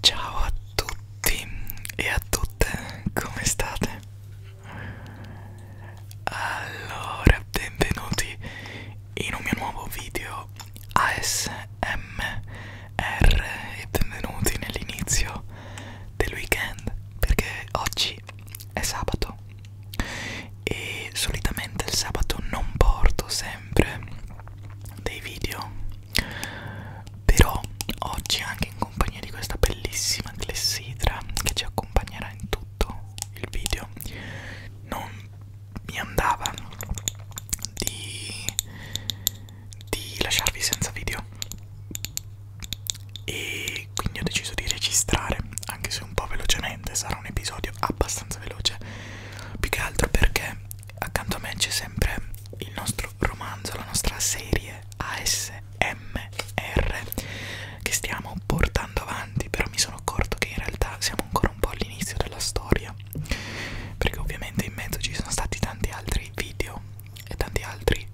Ciao a tutti e a tutte, come state? Allora, benvenuti in un mio nuovo video ASMR e benvenuti nell'inizio del weekend perché oggi è sabato e solitamente il sabato non porto sempre dei video però oggi anche in in compagnia di questa bellissima clessidra che ci accompagnerà in tutto il video non mi andava di, di lasciarvi senza video e quindi ho deciso di registrare anche se un po' velocemente sarà un episodio abbastanza veloce più che altro perché accanto a me c'è sempre il nostro romanzo la nostra serie ASMR che stiamo portando avanti, però mi sono accorto che in realtà siamo ancora un po' all'inizio della storia, perché ovviamente in mezzo ci sono stati tanti altri video e tanti altri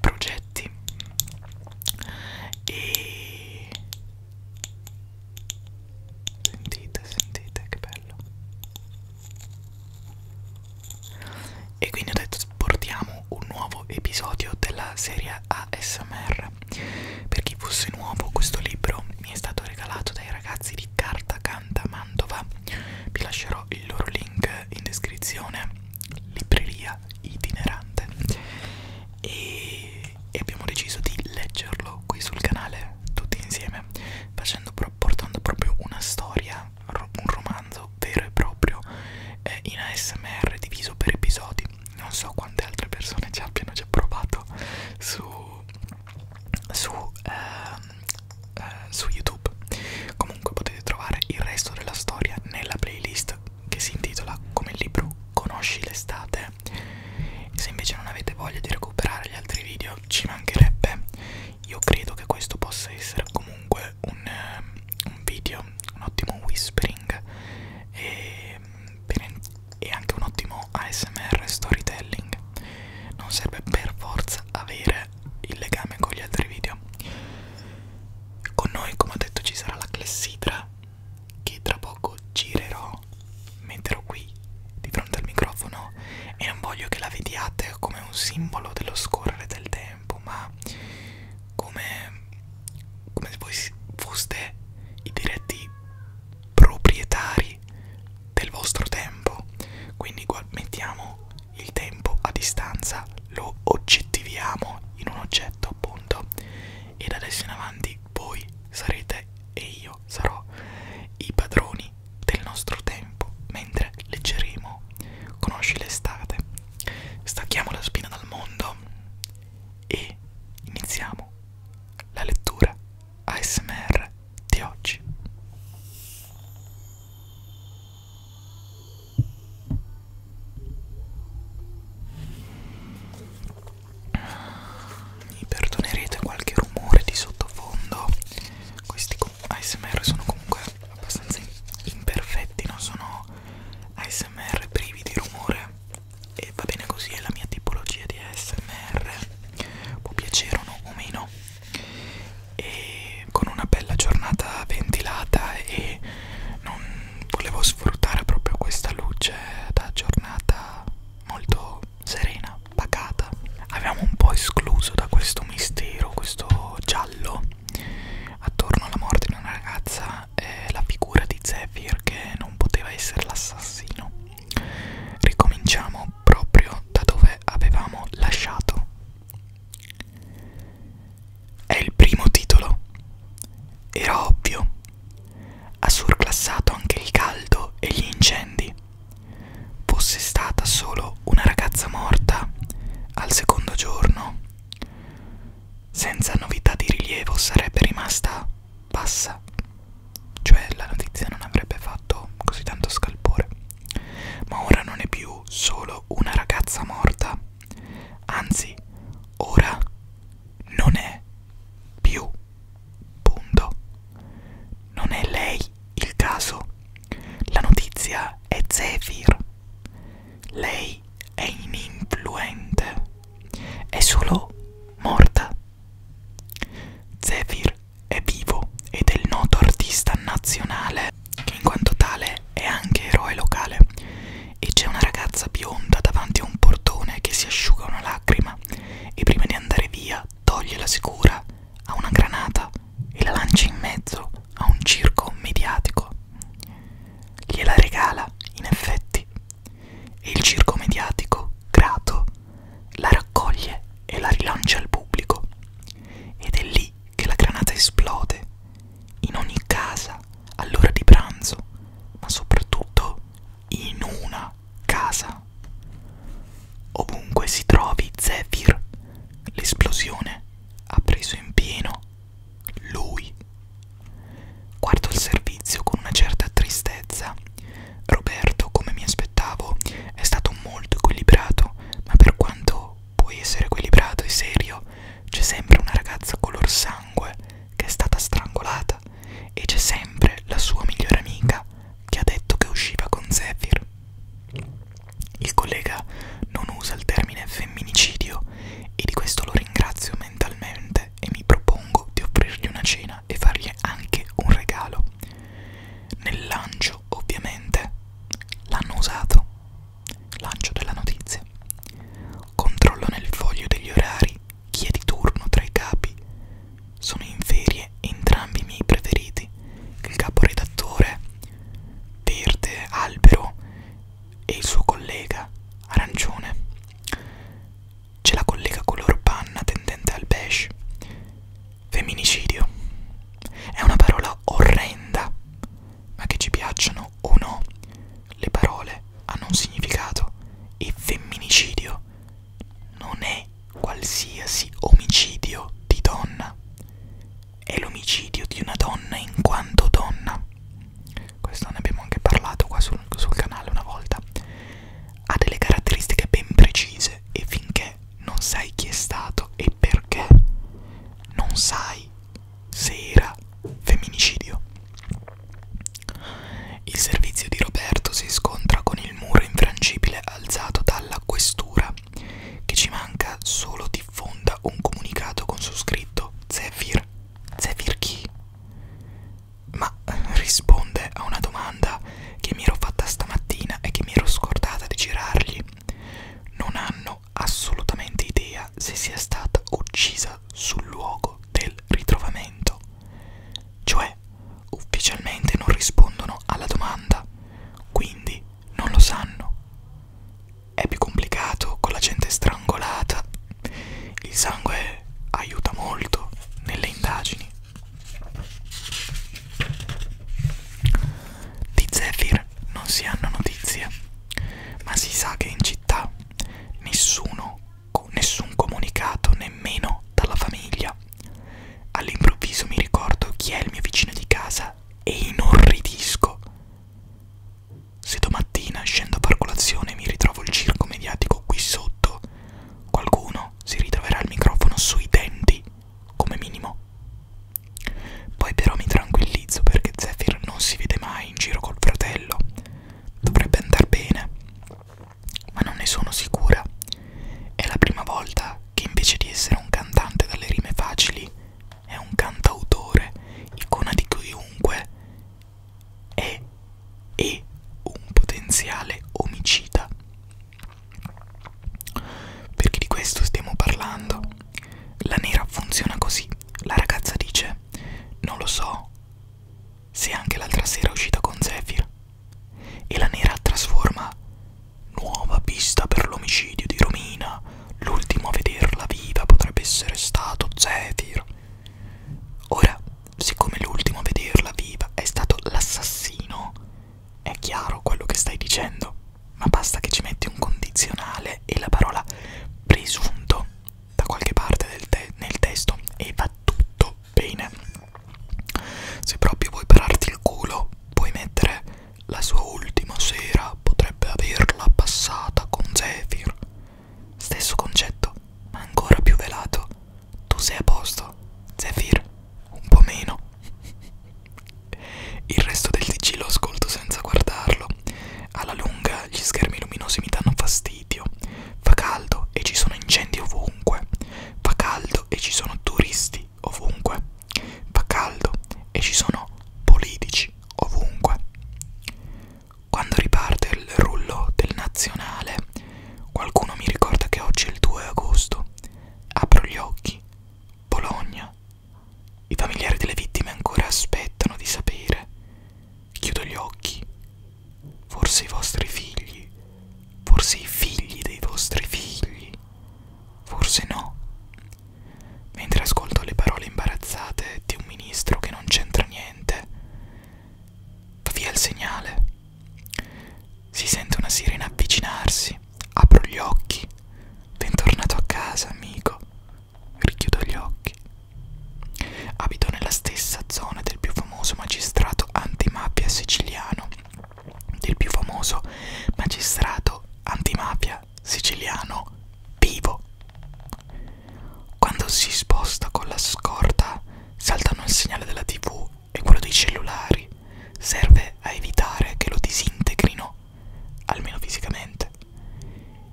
progetti e sentite, sentite che bello e quindi ho detto portiamo un nuovo episodio della serie ASMR per chi fosse nuovo questo libro mi è stato regalato dai ragazzi di Carta Canta Mantova vi lascerò il loro link in descrizione libreria itinerante e, e abbiamo deciso di leggerlo qui sul canale tutti insieme facendo, portando proprio una storia un romanzo metodo vero e proprio eh, in ASMR diviso per episodi. Non so quante altre persone ci abbiano già provato su, su, eh, eh, su YouTube. Comunque potete trovare il resto della storia nella playlist che si intitola come libro Conosci l'estate. Se invece non avete voglia di recuperare gli altri video, ci mancherebbe. Io credo che questo possa essere comunque un, ehm, un video, un ottimo whispering e, e anche un ottimo ASMR storytelling. Non serve per forza avere il legame con gli altri video. Con noi, come ho detto, ci sarà la clessidra che tra poco girerò, metterò qui di fronte al microfono e non voglio che la vediate come un simbolo dello scorrere del tempo tempo ma come, come se voi foste i diretti proprietari del vostro tempo quindi mettiamo il tempo a distanza lo oggettiviamo in un oggetto appunto e da adesso in avanti voi sarete e io sarò i padroni del nostro tempo mentre leggeremo conosci l'estate stacchiamo la spina dal mondo e iniziamo la lettura ASMR di oggi. Mi perdonerete qualche rumore di sottofondo. Questi ASMR sono comunque abbastanza imperfetti, non sono ASMR privi di rumore e va bene così, è la mia tipologia di ASMR, può piacere o meno, e con una bella giornata ventilata e non volevo sfruttare proprio questa luce da giornata molto serena, pacata. Avevamo un po' escluso da questo mistero, questo giallo attorno alla morte di una ragazza era eh, la figura di Zephyr che non poteva essere l'assassino. Ricominciamo proprio da dove avevamo lasciato. È il primo titolo. Era ovvio. Ha surclassato anche il caldo e gli incendi. Fosse stata solo una ragazza morta al secondo giorno senza novità di rilievo sarebbe rimasta bassa, cioè la notizia non avrebbe fatto così tanto scalpore. Ma ora non è più solo una ragazza morta, anzi, ora non è più. Punto. Non è lei il caso. La notizia è Zephyr. Lei è ininfluente, è solo morta. Zephyr è vivo ed è il noto artista nazionale, che in quanto tale è anche eroe locale. E c'è una ragazza bionda davanti a un portone che si asciuga una lacrima e prima di andare via toglie la sicura a una granata e la lancia in mezzo a un circo mediatico. Gliela regala, in effetti, e il circo mediatico, grato, la raccoglie e la rilancia al pubblico. Ed è lì che la granata esplode, in ogni casa, all'ora di pranzo, ma soprattutto in una casa. Ovunque si trovi Zephyr, l'esplosione ha preso in pieno lui. Guardo il servizio con una certa tristezza. Roberto, come mi aspettavo, è stato molto equilibrato, ma per quanto puoi essere equilibrato e serio, c'è sempre una ragazza color sangue che è stata strangolata e c'è sempre la sua migliore amica che ha detto che usciva con Zephyr. Il collega non usa il termine femminicidio e di questo lo ringrazio mentalmente e mi propongo di offrirgli una cena e fargli anche un regalo. Nel lancio, ovviamente, l'hanno usato. Lancio della notizia. Controllo nel foglio degli orari chi è di turno tra i capi. Sono in ferie entrambi i miei preferiti, il caporedattore verde albero e il suo collega arancione. C'è la collega color panna tendente al beige. Femminicidio. È una parola orrenda, ma che ci piacciono o no, le parole hanno un significato e femminicidio non è qualsiasi omicidio di donna, è l'omicidio di una donna in quanto donna questo ne abbiamo anche parlato qua sul, sul canale una volta ha delle caratteristiche ben precise e finché non sai chi è stato e perché non sai se era femminicidio il servizio di Roberto si scontra con il muro infrangibile alzato dalla questura che ci manca solo di fonda un comunicato con su scritto Zephyr Zephyr chi? Ma eh, risponde a una domanda che mi ero fatta stamattina e che mi ero scordata di girargli. Non hanno assolutamente idea se sia stata uccisa sul luogo del ritrovamento. Cioè, ufficialmente non rispondono alla domanda, quindi non lo sanno è più complicato con la gente strangolata. Il sangue aiuta molto nelle indagini. Di Zephyr non si hanno notizie, ma si sa che in città nessuno, nessun comunicato nemmeno dalla famiglia. All'improvviso mi ricordo chi è il mio vicino di casa e inorridisco. Se domattina scendo a far colazione e mi ritrovo il circo mediatico qui sotto, qualcuno si ritroverà il microfono sui denti, come minimo. Poi però mi tranquillizzo perché Zephyr non si vede mai in giro col fratello. Dovrebbe andar bene, ma non ne sono sicura. È la prima volta che invece di essere un cantante dalle rime facili, è un cantautore, icona di chiunque è e un potenziale omicida. Perché di questo stiamo parlando. La nera funziona così. La ragazza dice, non lo so se anche l'altra sera è uscita con Zephyr. E la nera trasforma nuova pista per l'omicidio di Romina L'ultimo a vederla viva potrebbe essere stato Zephyr. Ora, siccome l'ultimo a vederla viva è stato l'assassino, è chiaro quello che stai dicendo, ma basta che ci metti un condizionale e la parola presunto da qualche parte del te nel testo e va tutto bene. Se proprio vuoi pararti il culo, puoi mettere la sua ultima sera potrebbe averla passata con Zephyr. Stesso concetto, ma ancora più velato. Tu sei a posto, Zephyr, un po' meno. Il resto del TG lo ascolto senza guardarlo. Alla lunga gli schermi luminosi mi danno fastidio. Fa caldo e ci sono incendi ovunque. Fa caldo e ci sono turisti ovunque. Fa caldo e ci sono politici ovunque. Quando riparte il rullo del nazionale, qualcuno mi ricorda che oggi è il 2 agosto. Apro gli occhi. Bologna. I familiari delle vittime ancora aspettano di sapere. Chiudo gli occhi. Forse i vostri figli. Forse i figli dei vostri figli. Forse no mentre ascolto le parole imbarazzate di un ministro che non c'entra niente. Va via il segnale. Si sente una sirena avvicinarsi. Apro gli occhi. Bentornato a casa, amico. Richiudo gli occhi. Abito nella stessa zona del più famoso magistrato antimafia siciliano, del più famoso magistrato antimafia siciliano vivo. Quando si sposta con la scorta saltano il segnale della tv e quello dei cellulari. Serve a evitare che lo disintegrino, almeno fisicamente.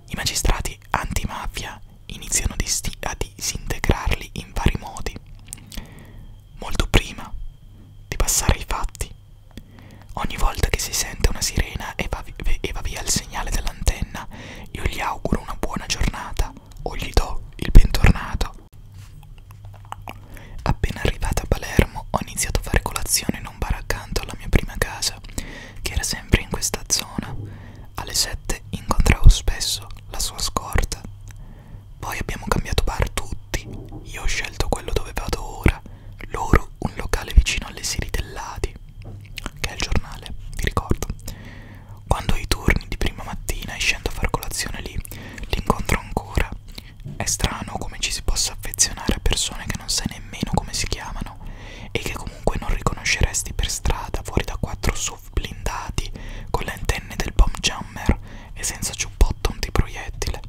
I magistrati antimafia iniziano a disintegrarli in vari modi, molto prima di passare ai fatti. Ogni volta che si sente una sirena e va e va via il segnale dell'antenna, io gli auguro una buona giornata o gli do il bentornato. Appena arrivata a Palermo ho iniziato a fare colazione in un bar accanto alla mia prima casa, che era sempre in questa zona. Alle 7 incontravo spesso la sua scorta. Poi abbiamo cambiato bar tutti, io ho scelto quello dove vado ora, loro un locale vicino alle Siri dell'Adi che è il giornale, vi ricordo. Quando ai turni di prima mattina e scendo a far colazione lì, l'incontro ancora. È strano come ci si possa affezionare a persone che non sai nemmeno come si chiamano e che comunque non riconosceresti per strada fuori da quattro SUV blindati con le antenne del bomb jammer e senza ciubbotto antiproiettile.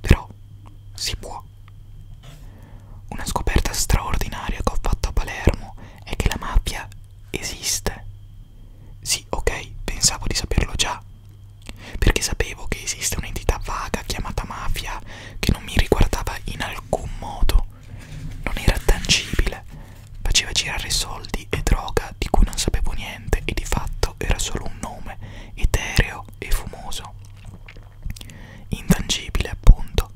Però si può. Una scoperta straordinaria che ho fatto a Palermo è che la mafia esiste. Sì, ok, pensavo di saperlo già, perché sapevo che esiste un'entità vaga chiamata mafia che non mi riguardava in alcun modo, non era tangibile, faceva girare soldi e droga di cui non sapevo niente e di fatto era solo un nome etereo e fumoso intangibile appunto.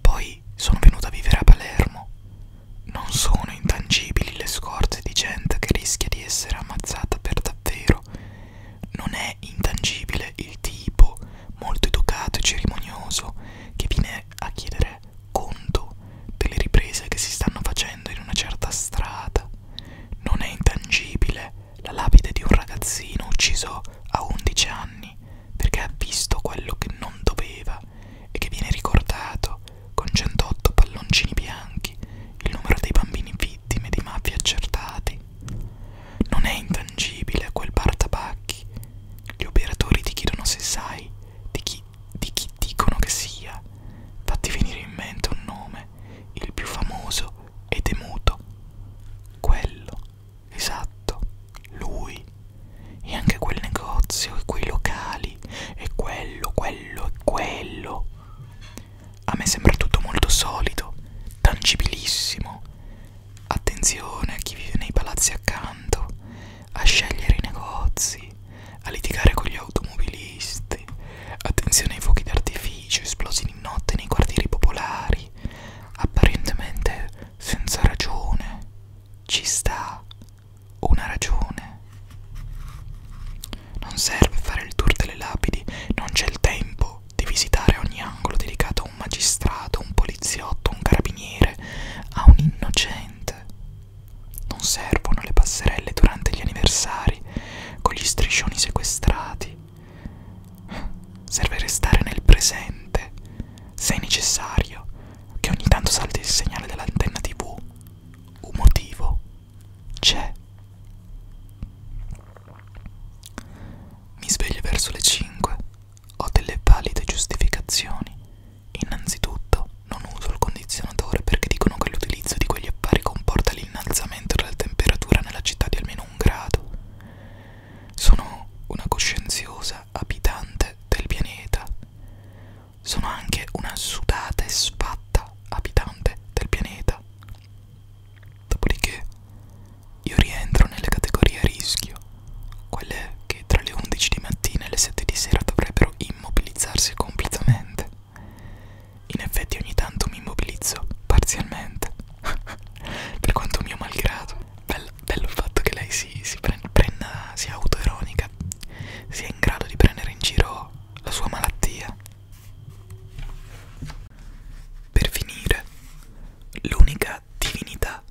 Poi sono venuto a vivere a Palermo. Non sono intangibili le scorte di gente che rischia di essere ammazzata per davvero. Non è intangibile il tipo molto educato e cerimonioso che viene a chiedere conto delle riprese che si stanno facendo in una certa strada. Non è intangibile la lapide di un ragazzino ucciso a 11 anni perché ha visto quello che non doveva e che viene ricordato con 108 palloncini bianchi il numero dei bambini vittime di mafia accertati. Non è intangibile quel bar tabacchi. Gli operatori ti chiedono se sai di chi, di chi dicono che sia. Fatti venire in mente un nome, il più famoso e temuto. Quello Esatto, lui. E anche quel negozio, e quei locali, e quello, quello, e quello. A me sembra tutto molto solido, tangibilissimo. Attenzione a chi vive nei palazzi accanto, a scegliere i negozi, a litigare con gli automobilisti. Attenzione ai fuochi d'artificio esplosi di notte nei quartieri popolari sai, apparentemente senza ragione, ci sta una ragione. Non serve fare il tour delle lapidi, non c'è il tempo di visitare ogni angolo dedicato a un magistrato, un poliziotto, un carabiniere, a un innocente. Non servono le passerelle durante gli anniversari, con gli striscioni sequestrati, Serve restare nel presente, se è necessario, che ogni tanto salti il segnale dell'antenna tv. Un motivo c'è. Mi sveglio verso le 5. Ho delle valide giustificazioni. Innanzitutto, non uso il condizionatore perché dicono che l'utilizzo di quegli appari comporta l'innalzamento della temperatura nella città di almeno un grado. Sono una coscienziosa abitante del pianeta. Sono anche una sudata e spatta abitante del pianeta. Dopodiché io rientro nelle categorie a rischio, quelle che tra le 11 di mattina e le 7 di sera dovrebbero immobilizzarsi completamente. In effetti ogni tanto mi immobilizzo parzialmente, per quanto mio malgrado bello, bello il fatto che lei si, si prenda, prenda, sia autoironica, sia in grado di prendere in giro la sua malattia. Per finire, l'unica divinità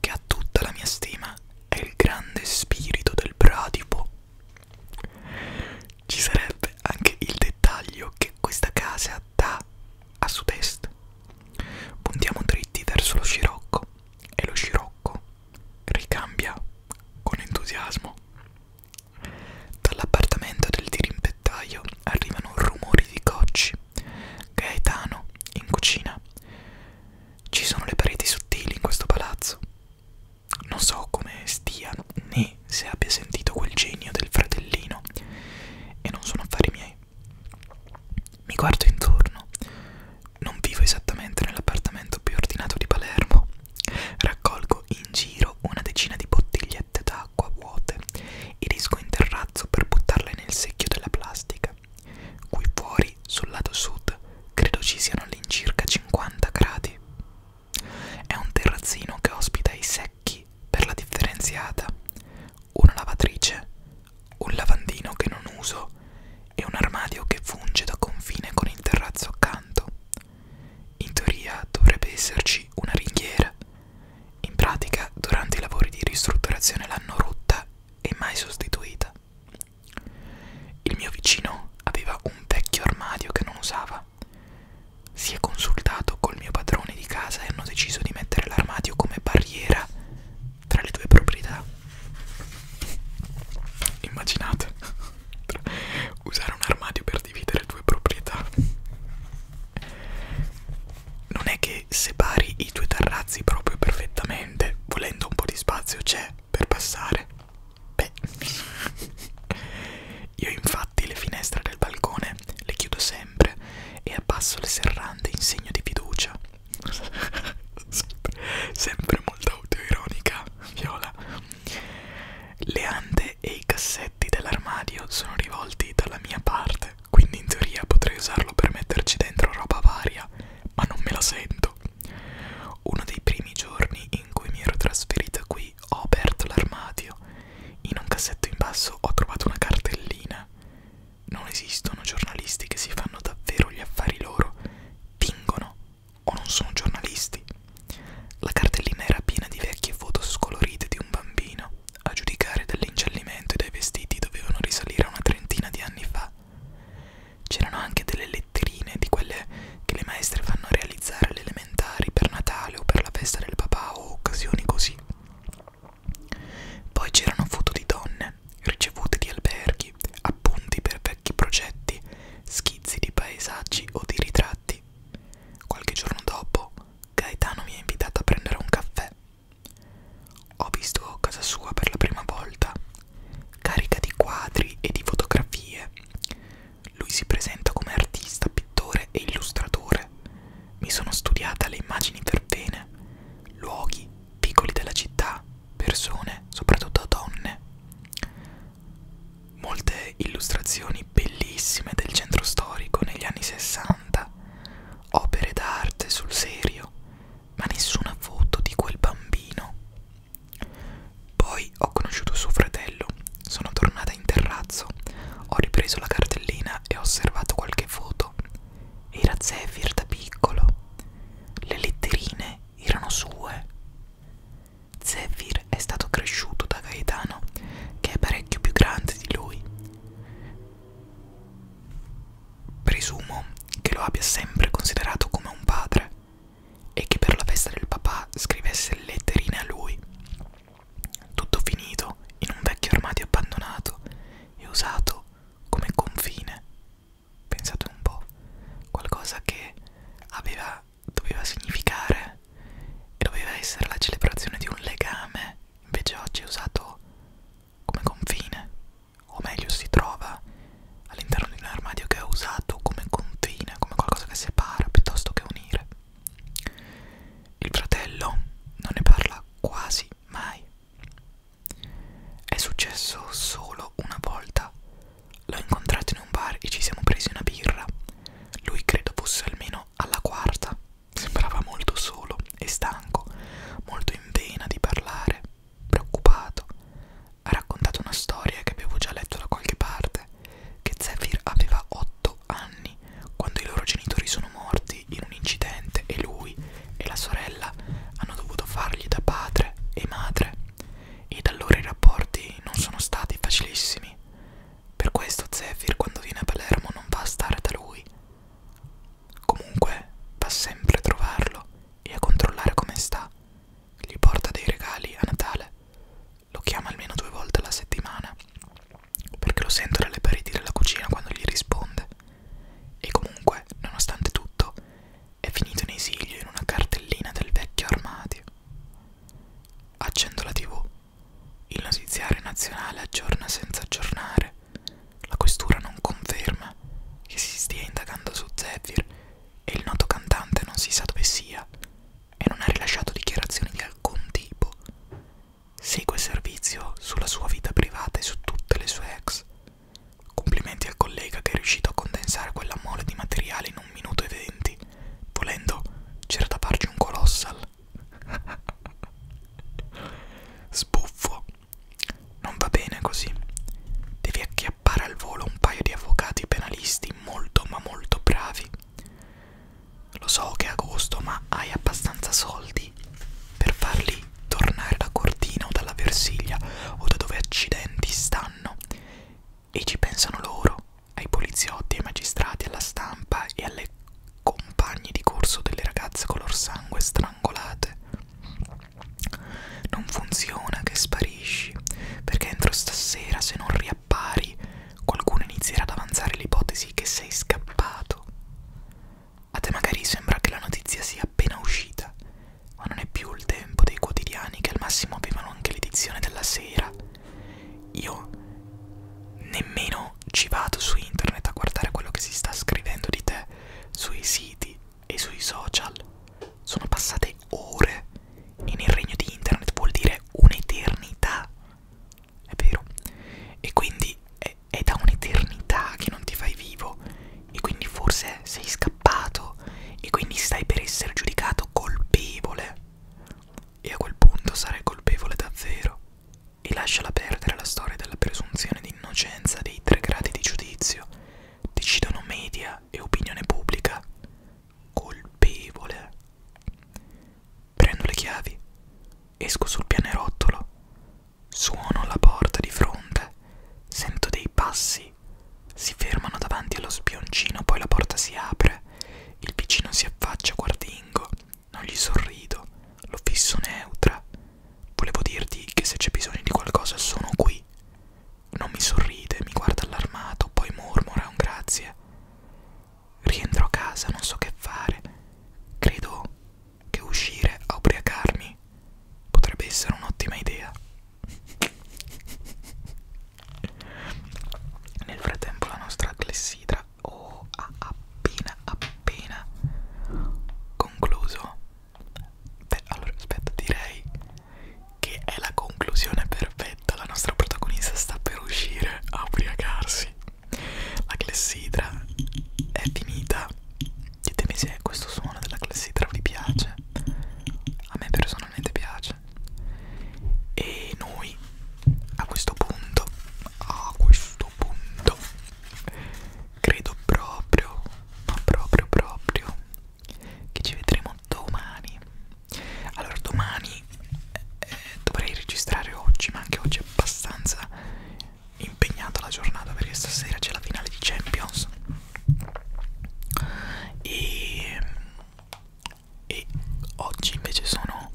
che ha tutta la mia stima è il grande spirito del bradipo. Ci sarebbe anche il dettaglio che questa casa dà a sud-est est. Puntiamo dritti verso lo scirocco e lo scirocco ricambia con entusiasmo. Dall'appartamento del dirimpettaio arrivano rumori di cocci. Gaetano in cucina. Ci sono le pareti sottili in questo palazzo. Non so come stia né se abbia sentito quel genio del fratellino e non sono affari miei. Mi guardo intorno. Non vivo esattamente nell'appartamento più ordinato di Palermo. Raccolgo in giro una decina di bottigliette d'acqua vuote ed esco in terrazzo per buttarle nel secchio della plastica. Qui fuori, sul lato sud, credo ci siano all'incirca 50 gradi. È un terrazzino che ospita i secchi per la differenziata, una lavatrice, un lavandino che non uso e un armadio che funge da confine con il terrazzo accanto. In teoria dovrebbe esserci una ringhiera. In pratica, durante i lavori di ristrutturazione l'hanno rotta e mai sostituita. Il mio vicino aveva un vecchio armadio che non usava. Si è consultato col col mio padrone di casa e hanno deciso di mettere l'armadio come barriera tra le due proprietà. Immaginate usare un armadio per dividere due proprietà. Non è che separi i due terrazzi proprio perfettamente, volendo un po' di spazio c'è per passare. Beh, io infatti le finestre del balcone le chiudo sempre sole e abbasso le serrande in segno di fiducia. Sempre molto autoironica, Viola. Le ande e i cassetti dell'armadio sono rivolti dalla mia parte, quindi in teoria potrei usarlo per metterci dentro roba varia, ma non me la sento. Uno dei primi giorni in cui mi ero trasferita qui ho aperto l'armadio. In un cassetto in basso ho trovato una cartellina non esistono giornalisti che si fanno davvero gli affari loro, vingono o non sono giornalisti. La cartellina era piena di vecchie foto scolorite di un bambino. A giudicare dall'incellimento e dai vestiti dovevano risalire a una trentina di anni fa. C'erano anche delle letterine di quelle che le maestre fanno realizzare alle elementari per Natale o per la festa del papà o occasioni così. Poi c'erano foto di donne, ricevute di alberghi, appunti per vecchi progetti, schizzi di paesaggi o di ritratti. Qualche giorno dopo, Gaetano mi ha invitato a prendere un caffè. Ho visto casa sua per la prima volta, carica di quadri e di fotografie. Lui si presenta come artista, pittore e illustratore mi sono studiata le immagini per bene, luoghi, piccoli della città, persone, soprattutto donne. Molte illustrazioni bellissime del centro storico negli anni 60, opere d'arte sul serio, ma nessuna foto di quel bambino. Poi ho conosciuto suo fratello, sono tornata in terrazzo, ho ripreso la cartellina cucina e ho osservato qualche foto. Era Zephyr da piccolo. Le letterine erano sue. Zephyr è stato cresciuto da Gaetano, che è parecchio più grande di lui. Presumo che lo abbia sempre considerato come un padre e che per la festa del papà scrivesse letterine a lui tutto finito in un vecchio armadio abbandonato e usato come confine. Pensate un po', qualcosa che aveva, doveva significare e doveva essere la celebrazione di un legame, invece oggi è usato come confine, o meglio si trova all'interno di un armadio che è usato come confine, come qualcosa che separa piuttosto che unire. Il fratello non ne parla quasi mai. È successo solo una volta. L'ho incontrato in un bar e ci siamo presi una birra. Lui credo fosse almeno alla quarta. Sembrava molto solo e stanco, molto in vena di parlare, preoccupato. Ha raccontato una storia che avevo già letto da qualche parte, che Zephyr aveva otto anni anni, quando i loro genitori sono morti in un incidente e lui e la sorella hanno dovuto fargli da padre e madre, e da allora i rapporti non sono stati facilissimi. Per questo Zephyr quando viene a Palermo non va a stare da lui. Comunque va sempre a trovarlo e a controllare come sta. Gli porta dei regali a Natale, lo chiama almeno due volte alla settimana perché lo sento dalle pareti della cucina quando gli risponde. E comunque, nonostante tutto, è finito in esilio in una cartellina del vecchio armadio. Accendo la tv. Il notiziario nazionale aggiorna senza aggiornare. La questura non conferma che si stia indagando su Zephyr e il noto cantante non si sa dove sia e non ha rilasciato dichiarazioni di alcun tipo. Segue servizio sulla sua vita privata e su tutte le sue ex. Complimenti al collega che è riuscito a condensare quella mole di materiale in un minuto e venti. Volendo, c'era da farci un colossal. Sbuffo. Non va bene così. Devi acchiappare al volo un paio di avvocati penalisti molto ma molto bravi. Lo so che è agosto, ma hai abbastanza soldi per farli tornare da Cortina o dalla Versiglia o da dove accidenti stanno. E ci pensano loro, ai poliziotti, ai magistrati, alla stampa e alle compagne di corso delle ragazze color sangue strangolate. Non funziona che sparisci, perché entro stasera se non riappari qualcuno inizierà ad avanzare l'ipotesi che sei scappato. A te magari sembra che la notizia sia appena uscita, ma non è più il tempo dei quotidiani che al massimo avevano anche l'edizione della sera. Io nemmeno ci vado su internet a guardare quello che si sta scrivendo di te sui siti e sui social. Sono passate ore e nel regno di internet vuol dire un'eternità. È vero. E quindi è eh, è, è da un'eternità che non ti fai vivo e quindi forse sei scappato e quindi stai per essere giudicato colpevole e a quel punto sarai colpevole davvero e lasciala perdere la storia della presunzione di innocenza dei tre gradi di giudizio decidono media e opinione pubblica colpevole Prendo le chiavi, esco sul pianerottolo, suono la porta di fronte, sento dei passi, si fermano davanti allo spioncino, poi la porta si apre, il piccino si affaccia guardingo, non gli sorrido, lo fisso neutra. Volevo dirti che se c'è bisogno di qualcosa sono qui. Non mi sorride, mi guarda allarmato, poi mormora un grazie. Rientro a casa, non so che fare. Credo che uscire a ubriacarmi potrebbe essere un'ottima idea. Nel frattempo la nostra clessidra oh, ha appena appena concluso. Beh, allora aspetta, direi che è la conclusione perfetta. La nostra protagonista sta per uscire a ubriacarsi. La clessidra è finita. Ditemi se questo suono della clessidra vi piace. A me personalmente piace. E noi a questo punto, a questo punto, credo proprio, ma proprio proprio, che ci vedremo domani. Allora domani eh, dovrei registrare oggi, ma anche oggi è abbastanza impegnata la giornata perché stasera c'è la finale di Champions e, e oggi invece sono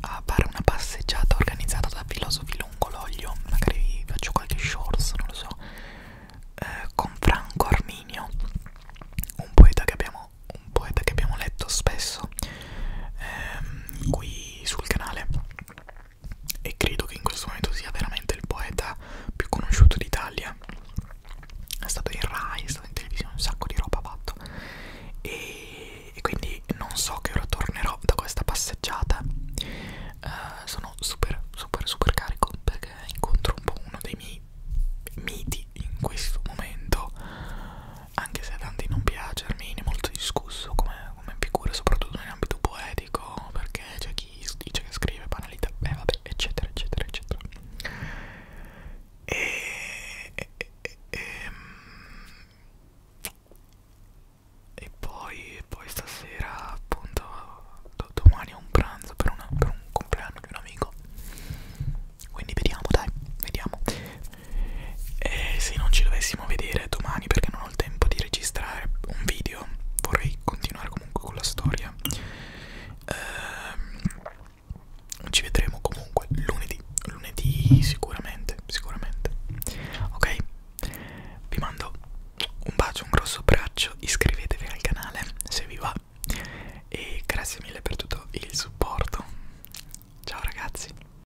a fare una passeggiata organizzata da Filosofi Longologlio magari vi faccio qualche shorts, non lo so eh, con Franco Arminio un poeta che abbiamo, un poeta che abbiamo letto spesso ehm, qui sul canale e credo che in questo momento sia veramente il poeta più conosciuto d'Italia. È stato in Rai, è stato in televisione, un sacco di roba ha fatto. E, e quindi non so che ora tornerò da questa passeggiata. Uh, sono super, super, super carico perché incontro un po' uno dei miei miti in questo momento anche se a tanti non piace, Armini è molto discusso come, come figura, soprattutto in ambito poetico, perché c'è chi dice che scrive banalità, beh vabbè, eccetera, eccetera, eccetera. E, e, e, e, ehm, e poi, poi stasera, appunto, do, domani è un pranzo per, una, per un compleanno di un amico. Quindi vediamo, dai, vediamo e se non ci dovessimo vedere domani perché non ho il tempo di registrare un video vorrei continuare comunque con la storia ehm, ci vedremo comunque lunedì lunedì sicuramente sicuramente ok vi mando un bacio un grosso abbraccio iscrivetevi al canale se vi va e grazie mille per tutto il supporto ciao ragazzi